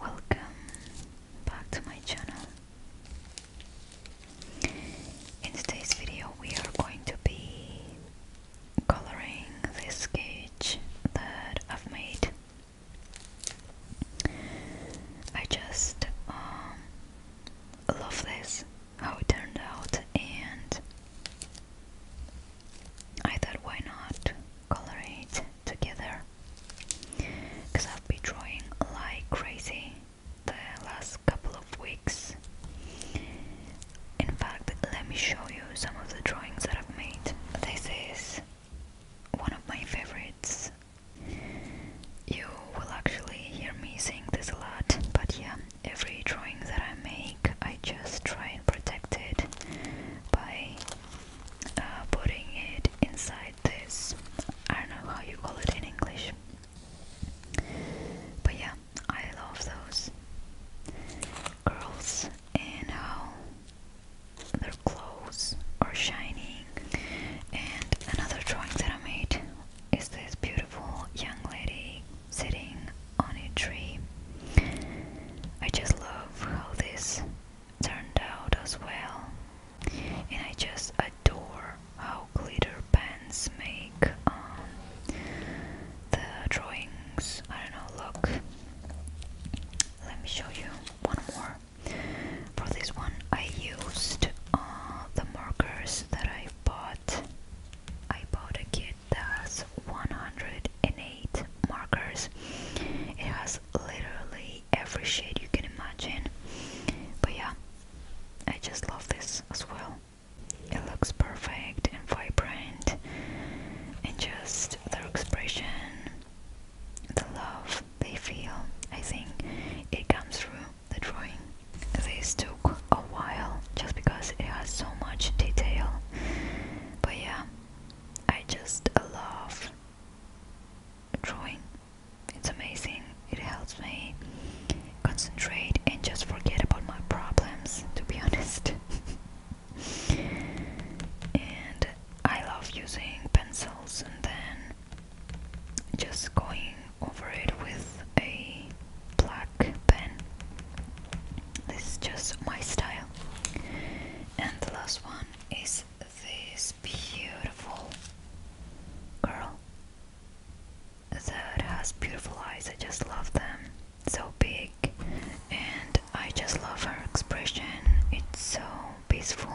Welcome back to my channel. In today's video we are going to be coloring this sketch that I've made. I just um, love this, how it turned out, and I thought why not color it together because I've been drawing like crazy the last couple of weeks. In fact, let me show you some of the drawings that I've made. This is one of my favorites. You will actually hear me saying this a lot, but yeah, every drawing that I make, I just try and protect it by uh, putting it inside this. I don't know how you call it in English. But yeah, I love those girls and how their clothes are shining. And another drawing that I made is this beautiful young lady sitting on a tree. I just love for how this turned out as well. And I just adore how glitter pens make um, the drawings, I don't know, look. Let me show you one more. For this one, I used uh, the markers that I bought. I bought a kit that has 100 108 markers. It has literally every shade you can imagine. But yeah, I just love this as well. It looks perfect and vibrant, and just their expression, the love they feel, I think it comes through the drawing. This took a while just because it has so much detail, but yeah, I just love drawing. It's amazing. It helps me concentrate and just forget about my problems, to be honest. and I love using pencils and then just going over it with a black pen. This is just my style. And the last one is this beautiful girl that has beautiful eyes. I just love them. So big, and I just love her expression. It's so peaceful.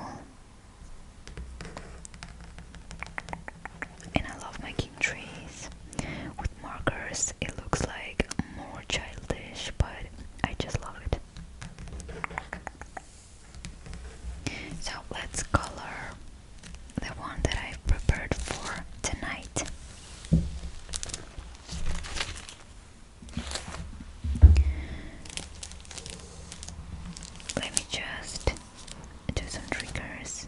And I love making trees with markers. It looks like more childish, but I just love it. So let's color the one that i prepared for tonight. Let me just do some triggers.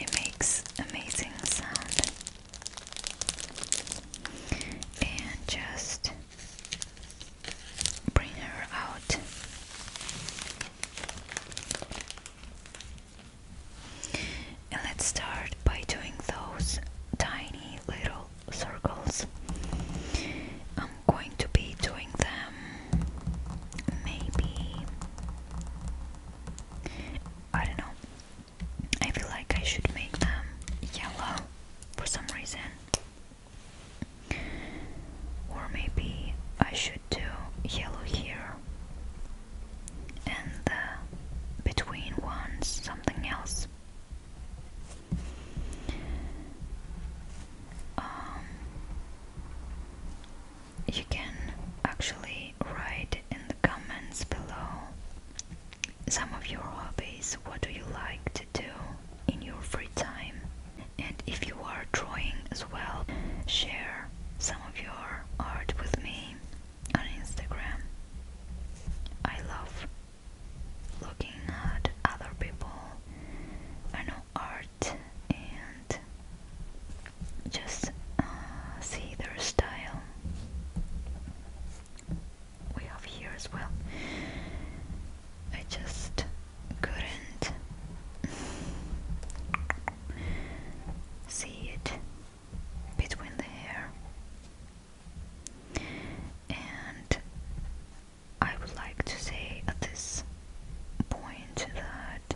It makes amazing sound and just bring her out. And let's start by doing those tiny little circles. I'm going to be doing them maybe I don't know. I feel like I should make them yellow for some reason. Or maybe I should do yellow here and between ones something else. Um, you can actually write in the comments below some of your hobbies, what do you like to do in your free time, and if you are drawing as well, share some of your art with me on Instagram. I love looking at other people. I know art just uh, see their style. We have here as well. I just couldn't see it between the hair, and I would like to say at this point that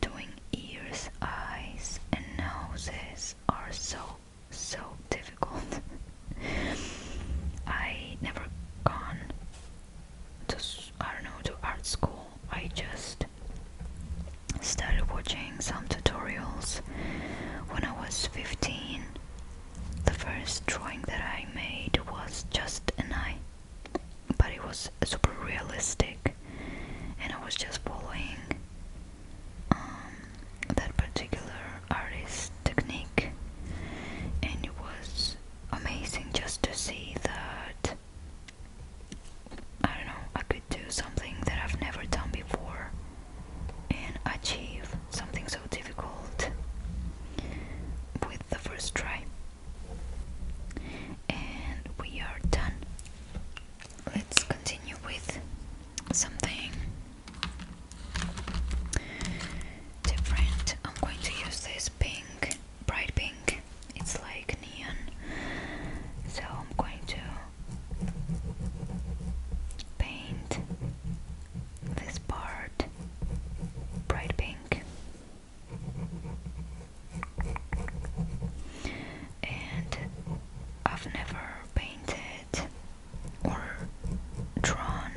doing ears, eyes, and noses are so so difficult. I never gone to I don't know to art school. I just started watching some tutorials when I was 15. The first drawing that I made was just an eye but it was super realistic, and I was just following um, that particular artist's technique, and it was amazing just to see that I don't know, I could do something that I've never done before and achieve something so difficult with the first try and we are done. Let's continue with something different. I'm going to use this pink, bright pink, it's like neon. So I'm going to paint this part bright pink and I've never painted or drawn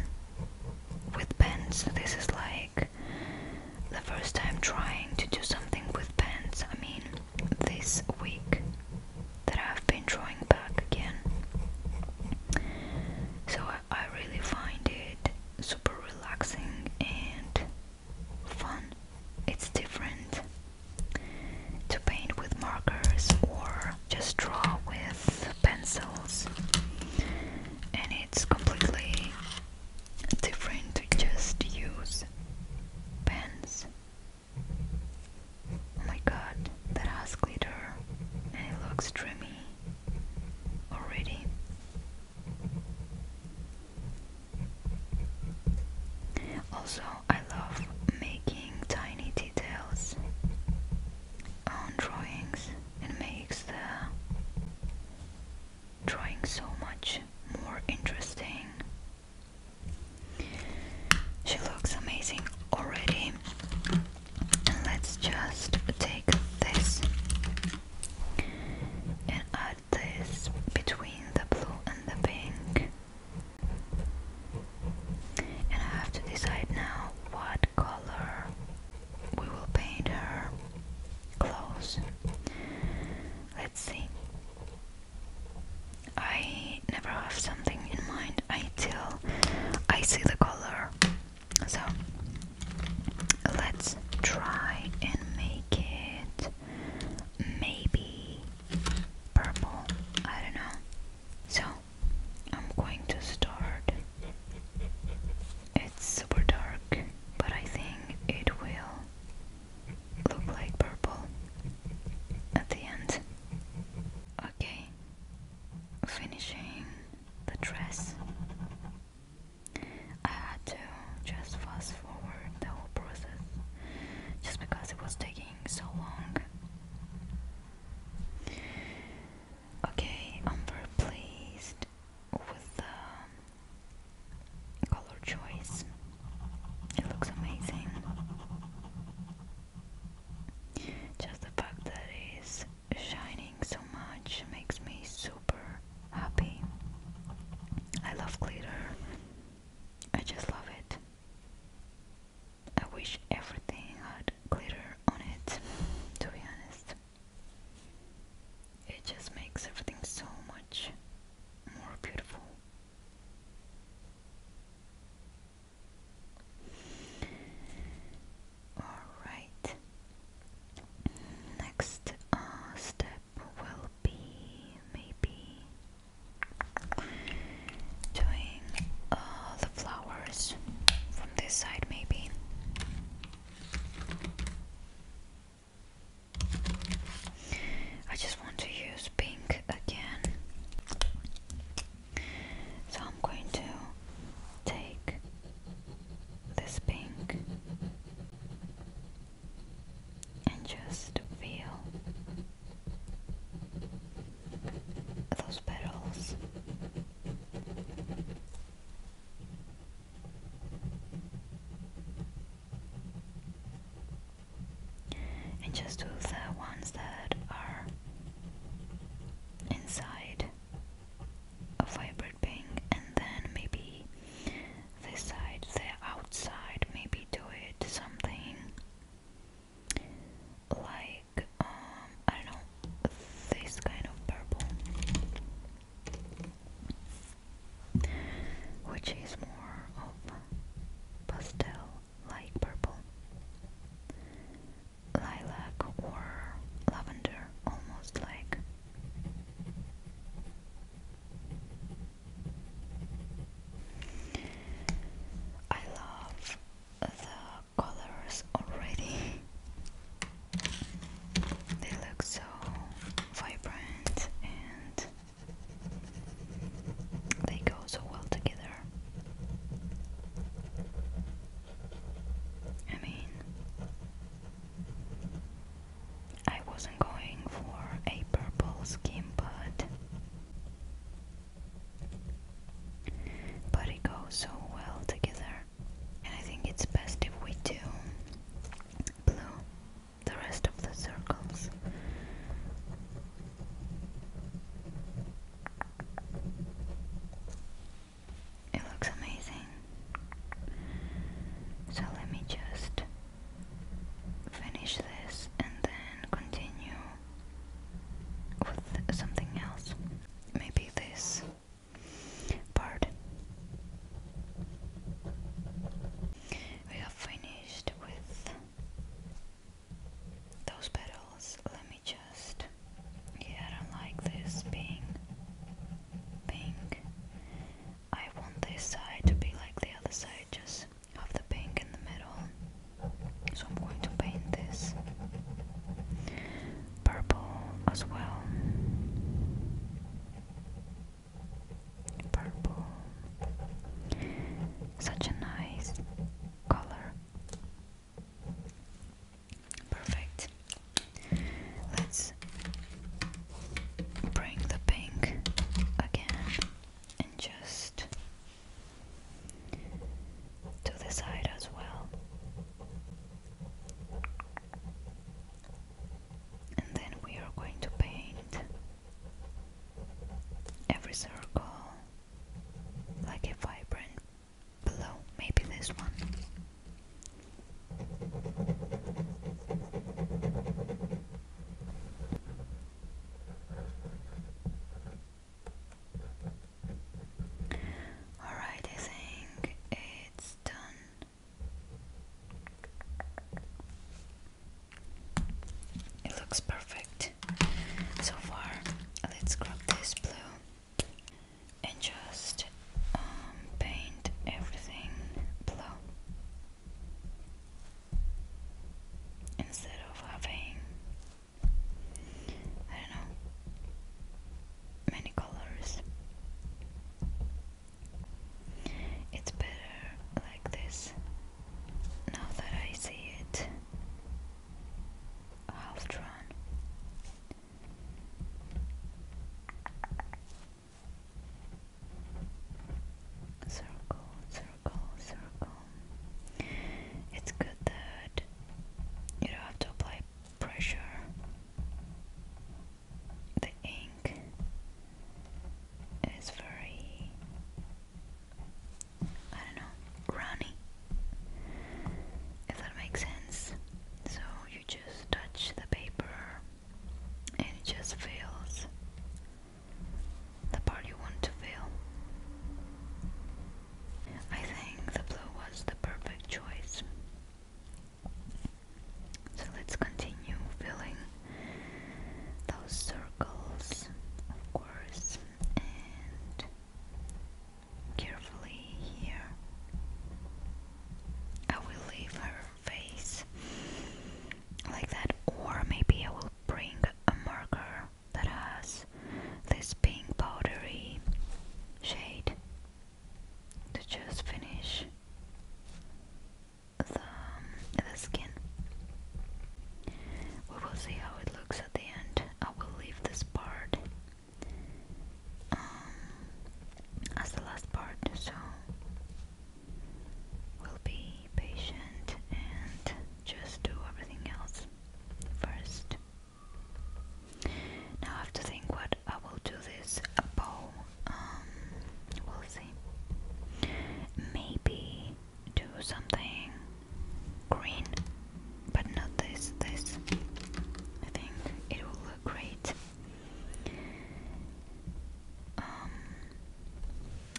with pens. This is like the first time trying to do something with pens. I mean, this week that I've been drawing back again. So I, I really find it super relaxing and fun. It's different to paint with markers or just draw with pencils, and it's completely different to just use pens. Oh my god, that has glitter and it looks dreamy already. Also, I love making tiny details on drawings. It makes the drawing so much more interesting. She looks amazing already. let's just take this and I this between the blue and the pink. And I have to decide now what color we will paint her clothes. Let's see. I never have something in mind until I see the color. So let's try and make it maybe purple, I don't know. So I'm going to start. It's super dark, but I think it will look like purple at the end. Okay, finishing the dress. I had to just fast forward the whole process just because it was taking so long. Okay, I'm very pleased with the color choice. It looks amazing. Just the fact that it is shining so much makes me so super happy. I love glitter. I just love it. I wish everything had glitter on it, to be honest. It just makes everything so much more beautiful. Alright, next uh, step will be maybe doing the flowers from this side, maybe. I just want to use pink again. So I'm going to take this pink and just feel those petals. And just do the ones that are inside of vibration and then maybe this side, the outside, maybe do it something like, um, I don't know, this kind of purple, which is more of pastel like purple, lilac or lavender, almost like. I love the colors already. They look so vibrant and they go so well together. I mean, I wasn't going for a purple skin, but but it goes so well together, and I think it's best if we do blue the rest of the circles. It looks amazing. So let me just finish this and then continue with something else. Maybe this part. We have finished with those petals. Let me just. Yeah, I don't like this being pink. I want this side to be like the other side, just of the pink in the middle. So I'm going to paint this purple as well. Purple. Such a nice color. Perfect. Let's bring the pink again and just to the side as well. And then we are going to paint every circle like a vibrant blue, maybe this one. All right, I think it's done. It looks perfect so far. Let's grab this blue and just um, paint everything blue instead of having I don't know many colors. It's better like this now that I see it half drawn. Circle, circle, circle. It's good that you don't have to apply pressure. The ink is very, I don't know, runny. If that makes sense. So you just touch the paper and it just feels the part you want to feel. I think the blue was the perfect choice. So let's continue filling those circles, of course, and carefully here. I will leave her face like that or maybe I will bring a marker that has this pink powdery shade to just finish the, the skin. We will see how it looks at the end. I will leave this part um, as the last part so will be patient and just do everything else first. Now I have to think what I will do this bow. Um, we'll see. Maybe do something green, but not this. This I think it will look great. Um,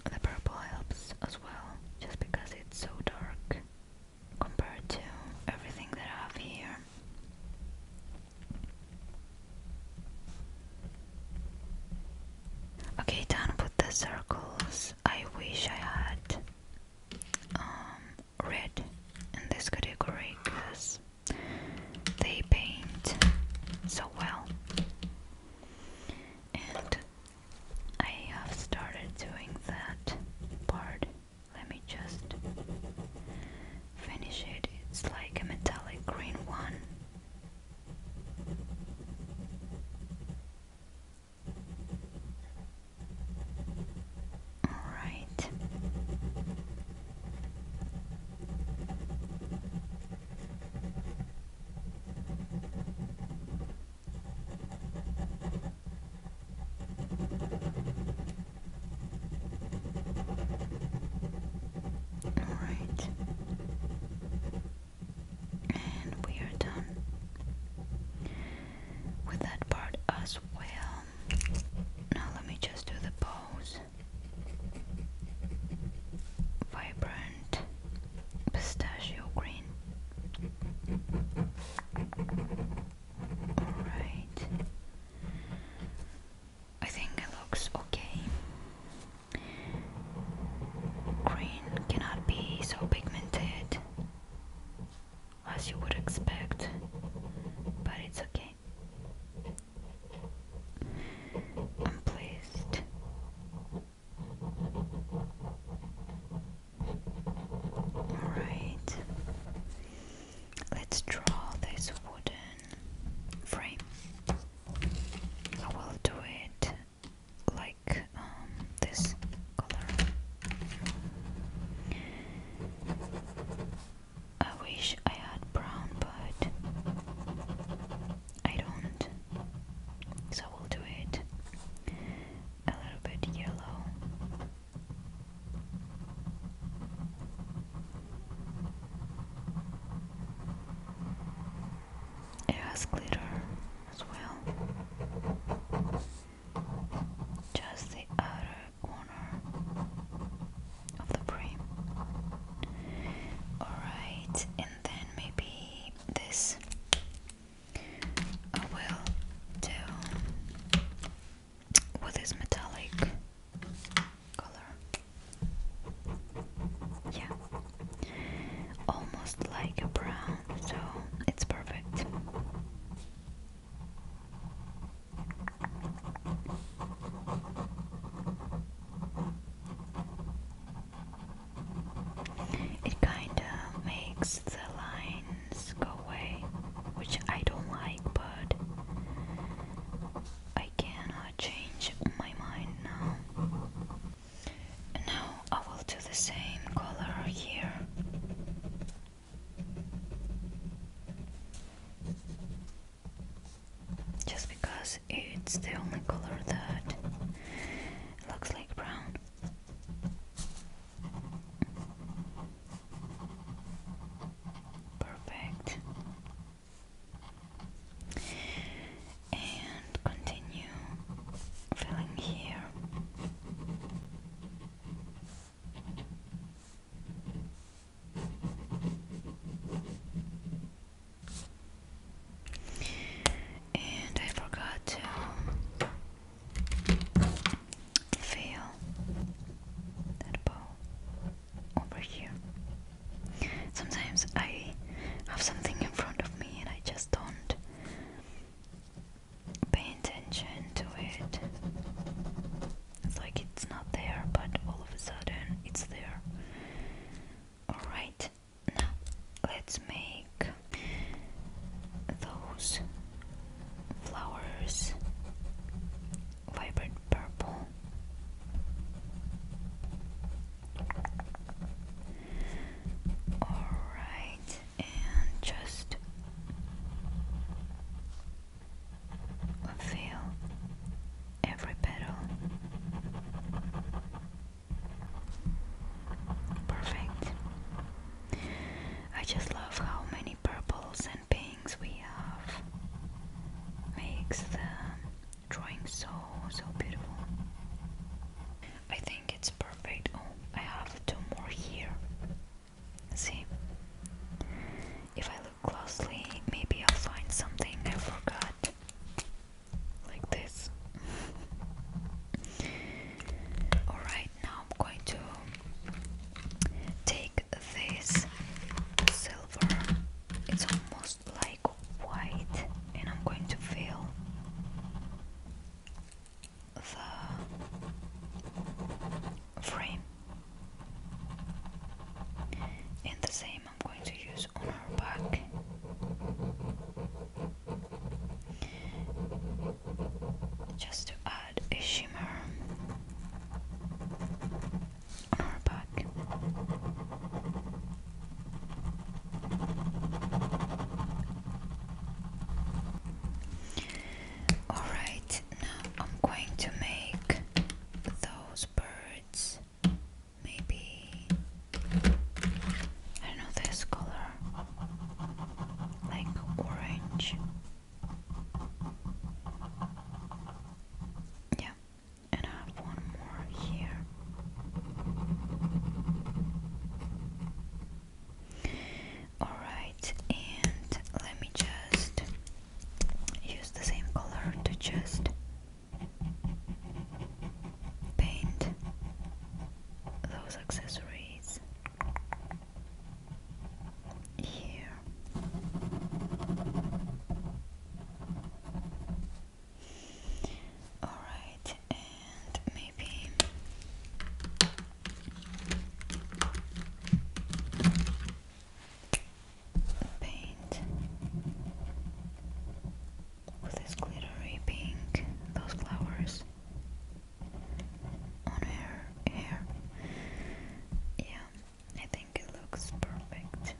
the purple helps as well, just because it's so dark compared to everything that I have here. Okay, done with the circles. I wish I had um, red in this category because they paint so well. And I have started doing that part. Let me just finish it. It's like a metallic green one. Alright. All right, and we are done with that part as well. Now, let me just do the pose vibrant pistachio green. Alright. I think it looks okay. Green cannot be so pigmented as you would expect, but it's okay. I'm pleased. Alright, let's draw this wooden frame. I will do it like um, this color. I wish I had brown, but I don't, so we'll do it a little bit yellow. It has glitter as well. Just the outer corner of the brain. Alright, and then maybe this I uh, will do with this metallic color. Yeah, almost like a brown, so it's perfect. It kinda makes the lines go away, which I don't like, but I cannot change my mind now. Now I will do the same color here just because it's the only color that looks like brown. Perfect. And continue filling here. And I forgot to fill that bowl over here. Sometimes I have something in front of me and I just don't pay attention to it. It's like it's not there, but all of a sudden it's there. Alright, now let's make those flowers vibrant purple. Alright, and just Feel every petal. Perfect. I just love how many purples and pinks we have. Makes the drawing so, so beautiful. I think it's perfect. Oh, I have two more here. See? If I closely, maybe I'll find something I forgot. Like this. Alright, now I'm going to take this silver, it's almost like white, and I'm going to fill the frame in the same I'm going to use on her back just to add a shimmer on our back. All right, now I'm going to make those birds maybe I know this color, like orange. Yeah, and I have one more here. Alright, and let me just use the same color to just paint those accessories here. Alright, and maybe paint with this glittery pink, those flowers on her hair. Yeah, I think it looks perfect.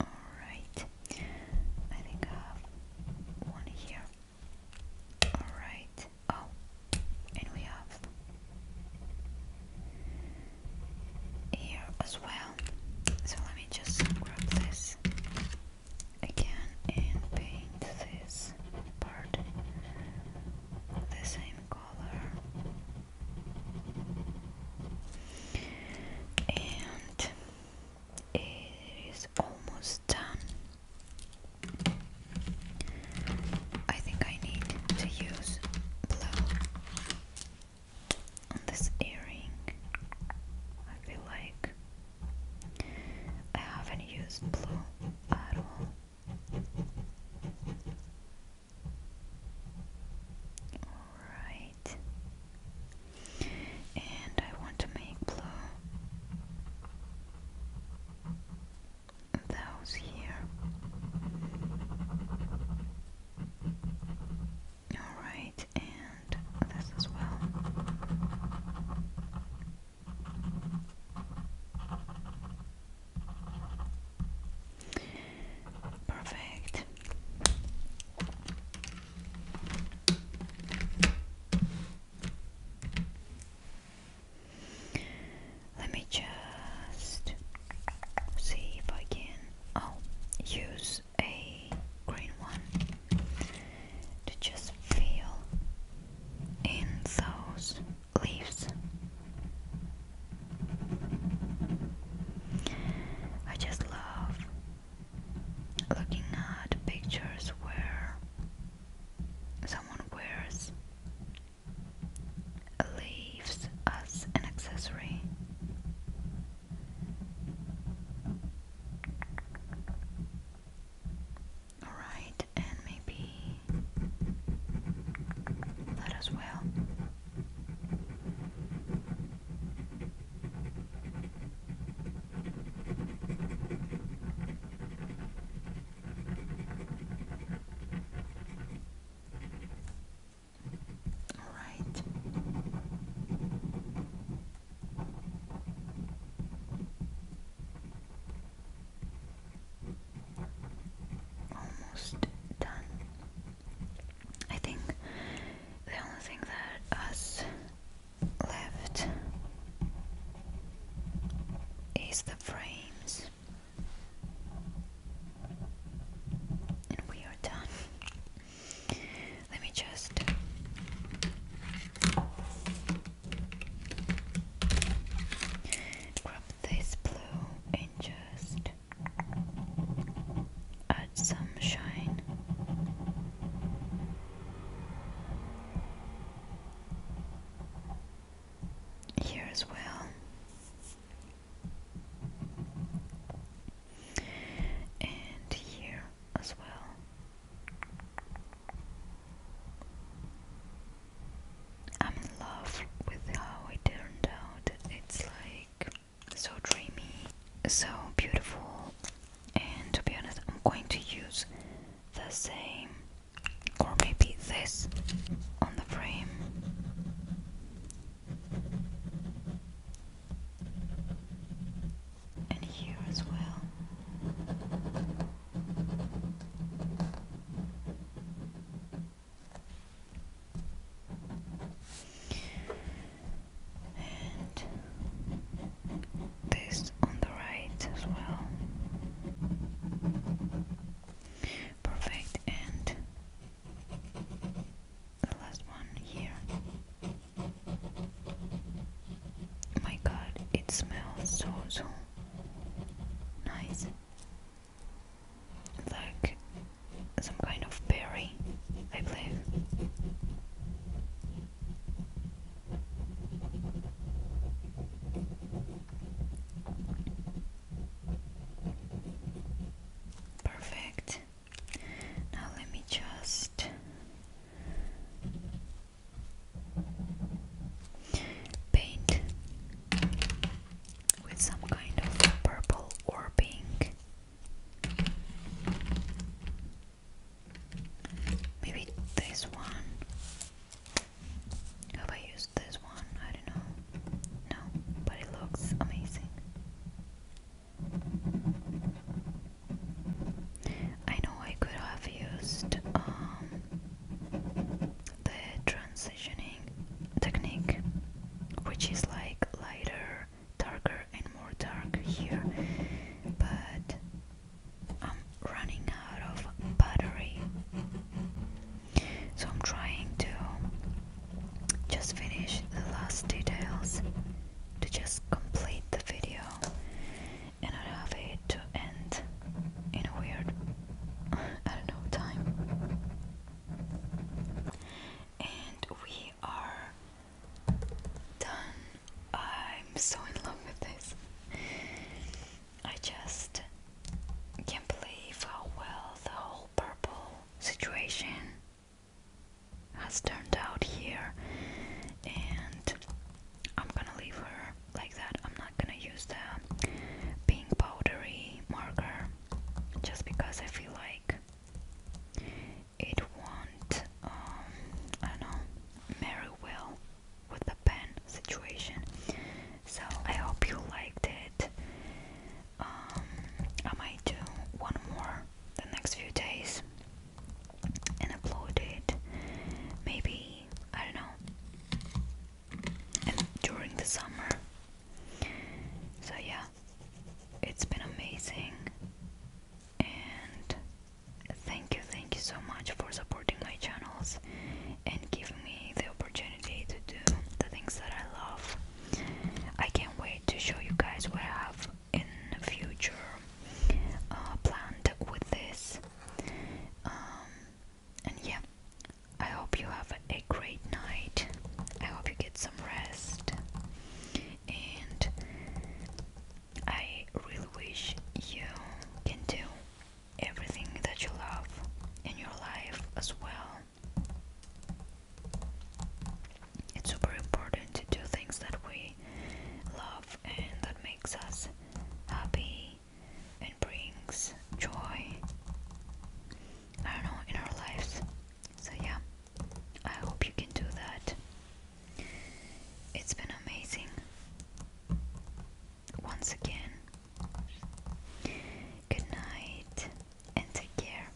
Alright, I think I have one here. Alright. Oh, and we have here as well. So let me just grab this again and paint this part the same color. And it is almost done. I think I need to use blue on this earring. I feel like I haven't used blue at all. Alright. And I want to make blue those here. Alright, and this as well. Perfect. Let me just see if I can oh use a green one to just fill in those leaves. I just love looking at pictures where someone wears leaves as an accessory. Alright, and maybe that as well. All right. Almost done. I think the only thing that us left is the frames, and we are done. Let me just. Grab this blue and just add some shine here as well, and here as well. I'm in love with how it turned out. It's like so dreamy, so beautiful, and to be honest, I'm going to use the same or maybe this on the frame. And here as well. And this on the right as well. Perfect, and the last one here. My god, it smells so so nice. Like some kind of berry, I believe. Perfect. Now let me just paint with some kind of purple or pink. Maybe this one. Have I used this one? I don't know. No, but it looks amazing. I know I could have used um, the transitioning technique, which is like lighter, darker, and more dark here, but I'm running out of battery, so I'm trying to just finish the last details to just complete the video and I have it to end in a weird, I don't know, time. And we are done I'm so in love with this. I just can't believe how well the whole purple situation has turned out here. And I'm gonna leave her like that. I'm not gonna use the pink powdery marker just because I feel like it won't, um, I know, marry well with the pen situation. So I hope you liked it. Um, I might do one more the next few days and upload it. Maybe I don't know. And during the summer. So yeah, it's been amazing. And Thank you, thank you so much for supporting my channels and giving me the opportunity to do the things that I love. I can't wait to show you guys what I have in the future uh, planned with this. Um, and yeah, I hope you have a great night. I hope you get some rest. And I really wish you can do everything that you love in your life as well. It's super important to do things that we love and that makes us happy and brings joy. I don't know in our lives. So yeah, I hope you can do that. It's been amazing once again. Good night and take care.